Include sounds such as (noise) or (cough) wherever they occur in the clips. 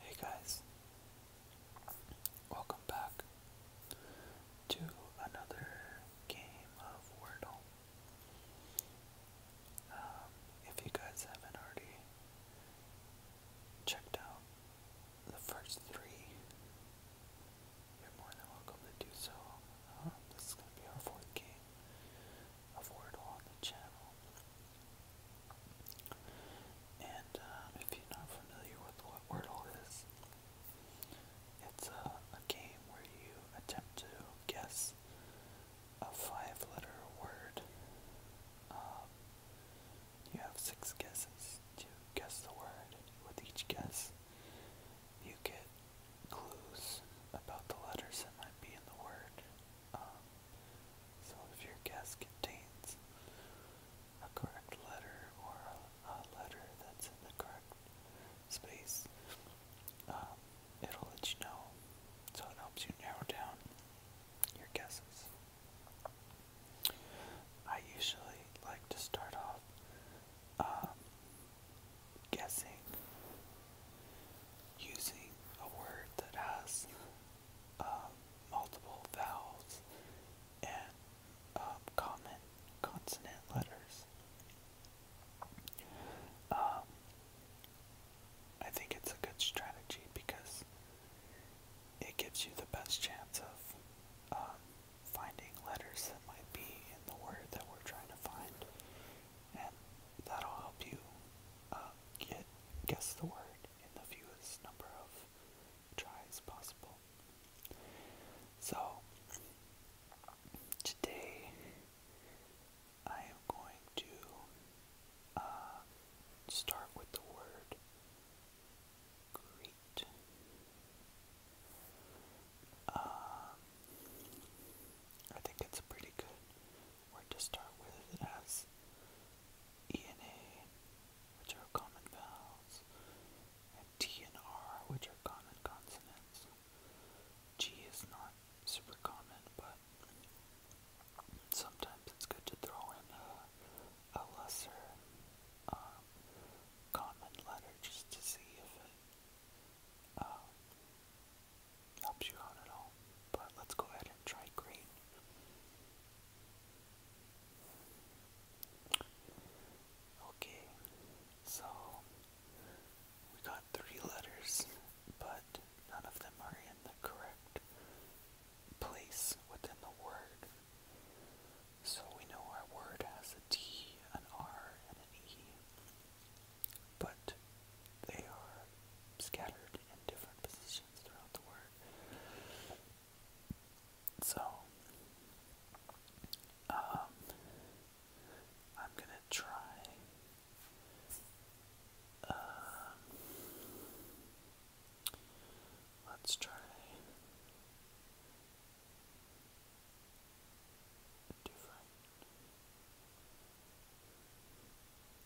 Hey guys, welcome back to another game of Wordle. Um, if you guys haven't already checked out the first three, you're more than welcome to do so. Uh, this is going to be our fourth game. Wordle on the channel. And um, if you're not familiar with what Wordle is, it's a, game where you attempt to guess a five letter word. Um, you have six guesses to guess the word. With each guess, you get clues about the letters that might be in the word. Um, so if your guess contains a correct letter or a letter that's in the correct space, um, it'll let you know. So it helps you narrow down your guesses. I usually like to start off um, guessing using a word that has um, multiple vowels and um, common consonant letters. Um, I think it's a good strategy because it gives you the best chance of finding letters that might be in the word that we're trying to find, and that'll help you uh, get, guess the word in the fewest number of tries possible. So, today I am going to uh, start with the word greet. Um, I think it's pretty good word to start with as E and A, which are common vowels, and T and R, which are common consonants. G is not super common, but sometimes it's good to throw in a, a lesser um, common letter just to see if it um, helps you out at all. But let's go ahead and try green. Okay, so we got three letters, but none of them are in the correct place within the word. So we know our word has a T, an R, and an E, but they are scattered in different positions. So, um, I'm gonna try. Um, let's try different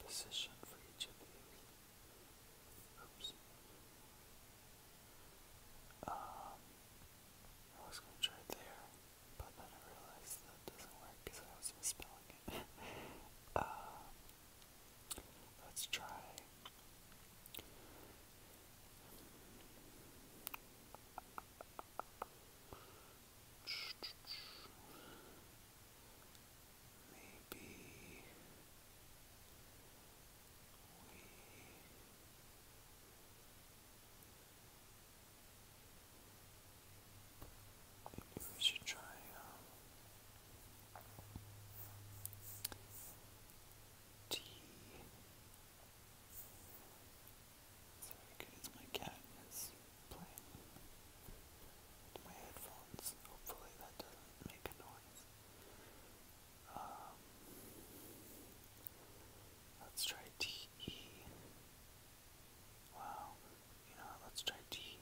position for each of these. Oops. Um, I was going to try it there, but then I realized that doesn't work because I was misspelling it. (laughs) Uh, let's try. Maybe we should try um, Sorry, guys, my cat is playing with my headphones. Hopefully that doesn't make a noise. let's try TE. Wow, you know, let's try TE.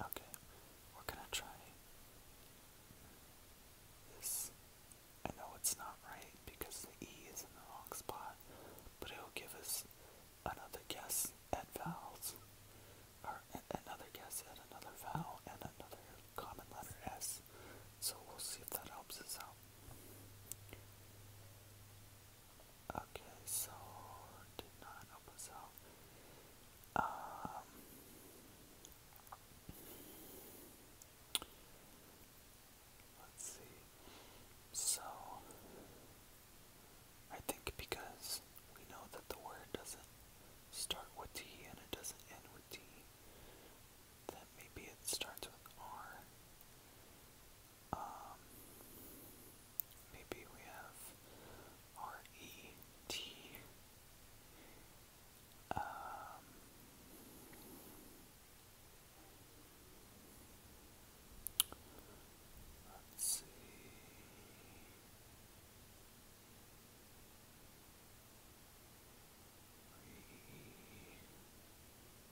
Okay, we're gonna try this. I know it's not right because the E is in the wrong spot, but it'll give us another guess at vowels, or another guess at another vowel and another common letter S. So we'll see if that helps us out. Okay, so did not help us out. Um, let's see. So I think because we know that the word doesn't start with T and it doesn't end with T, that maybe it starts with R. Um, maybe we have R E T. Um, Let's see.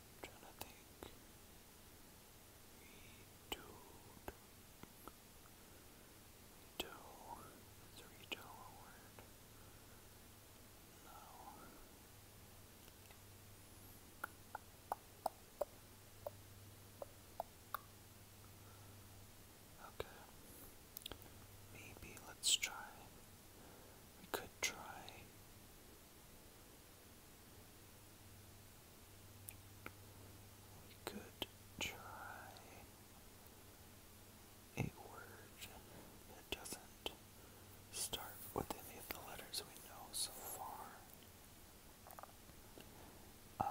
i trying to think. We do. Redo. Is redo a word? No. Okay. Maybe let's try. We could try. We could try a word that doesn't start with any of the letters we know so far. Um,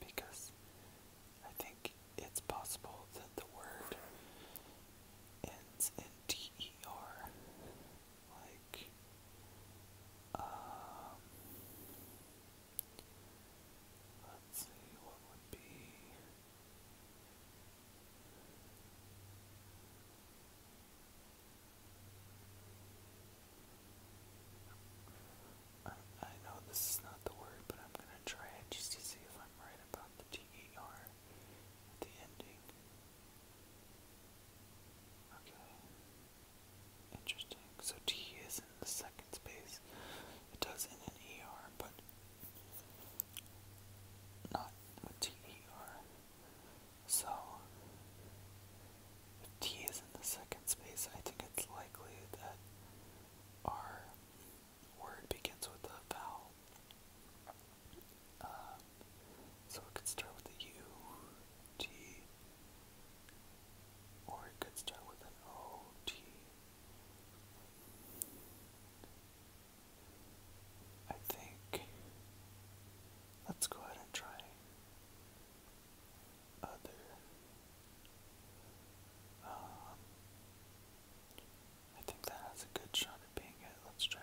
because I think it's possible that the word ends in D-E-R, like, um, let's see, what would be, I, know this is not the word, but I'm gonna try just to see if I'm right about the T-E-R the ending. Okay. Interesting. So T is in the second space. It does in ER, but not with T-E-R. So, if t is in the second space, I think it's likely that our word begins with a vowel. Um, so it could start with a U, T, or it could start with an O, T. I think let's go ahead and try other um, I think that has a good shot at being it. Let's try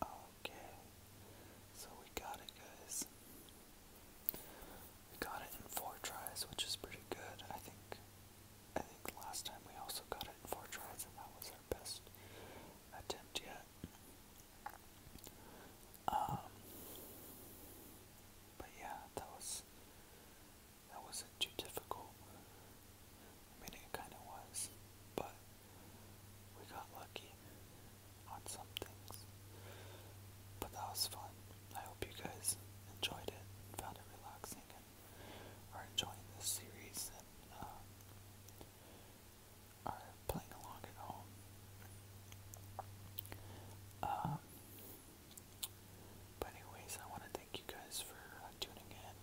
that. Okay. So we got it guys. We got it in four tries, which is pretty good. I think I think last time we also got it in four tries, and that was our best attempt yet. Um, but yeah, that was that wasn't too difficult. I mean, it kind of was, but we got lucky on some things. But that was fun. I hope you guys enjoyed it and found it relaxing are enjoying this series and uh, are playing along at home. Um, but anyways, I want to thank you guys for uh, tuning in.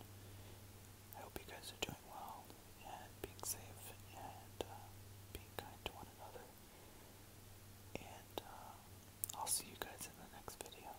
I hope you guys are doing well and being safe and uh, being kind to one another. And I'll see you guys in the next video.